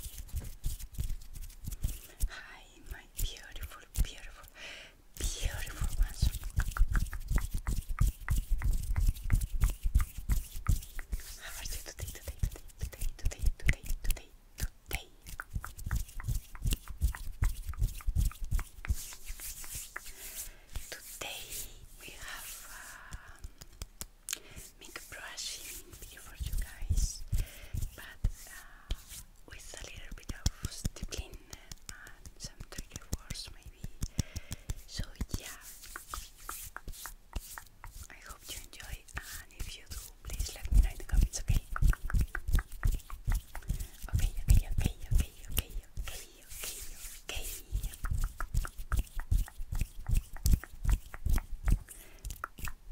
Hi, my beautiful, beautiful, beautiful ones. How are you today, today, today, today, today, today, today, today? Today we have um, make brushing video for you guys, but uh, with a little bit of discipline and some trigger words maybe. So yeah, I hope you enjoy, and if you do, please let me know in the comments, okay? Okay, okay, okay, okay, okay, okay, okay, okay. Okay,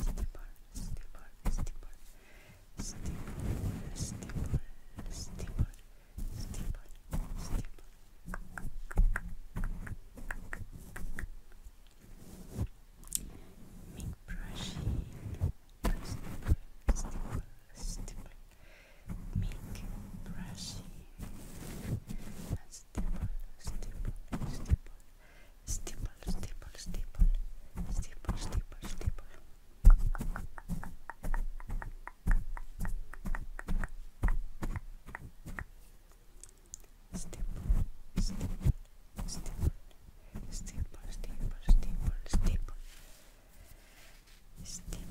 stipple, stipple, stipple, stipple, stipple, stipple, stipple, stipple. Make brushing, stipple, stipple, stipple. Make brushing, stipple, stipple, stipple. Steeple, steeple, steeple, steeple, steeple, steeple. Steeple, steeple, steeple, steeple, steeple, steeple, steeple. Steeple. Steeple. Steeple.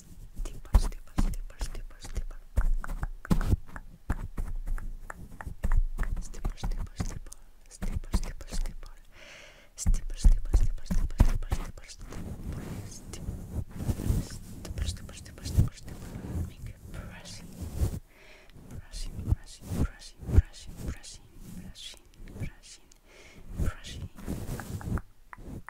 стипа, стипа, стипа, стипа, стипа. Стипа, стипа, стипа, стипа, стипа, стипа. Стипа, стипа, стипа, стипа, стипа, стипа, стипа. Стипа, стипа, стипа, стипа, стипа. Make it brushing. Brushing, brushing, brushing, brushing, brushing, brushing, brushing, brushing.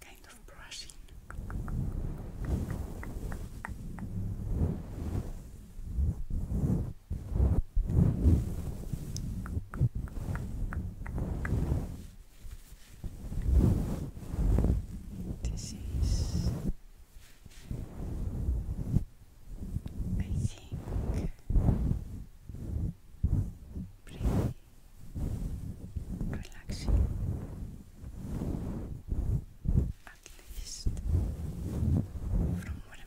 kind of brushing. This is, I think, pretty relaxing at least from where i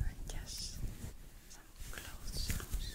I guess some clothes sounds.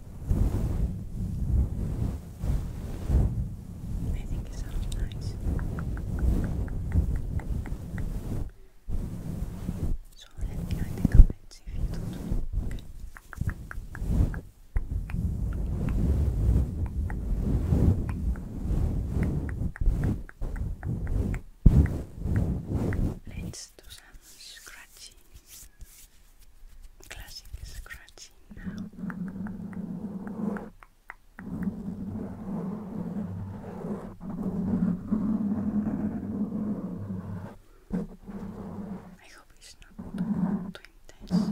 I think it sounds nice. So let me know in the comments you Let's do some scratching. Classic scratching now. I hope it's not too intense.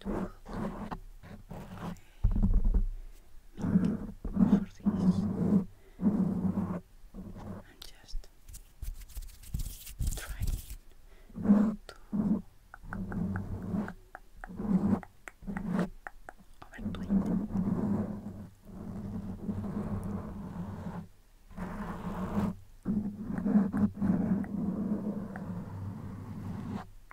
to put for this I'm just trying to overdo it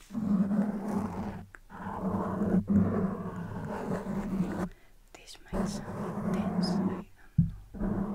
This might sound intense, I don't know.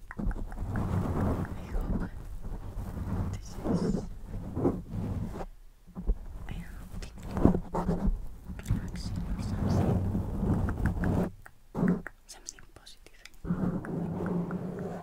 I hope this is I don't think relaxing or something something positive I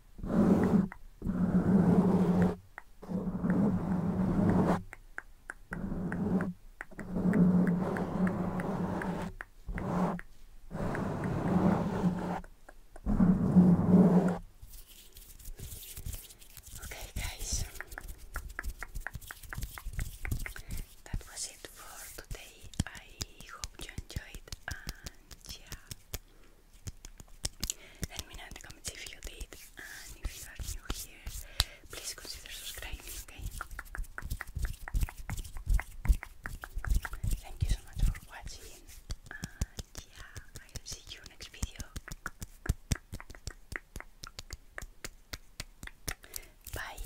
Okay, guys, that was it for today. I hope you enjoyed yeah. Let me know in the comments you did, and if you are new here, please consider subscribing, Thank you so much for watching, yeah, I'll see you next video. Bye.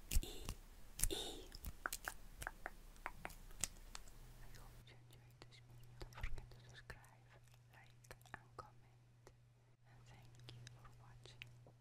E E. I this video. Don't forget to subscribe, like, and comment. And thank you for watching. Bye.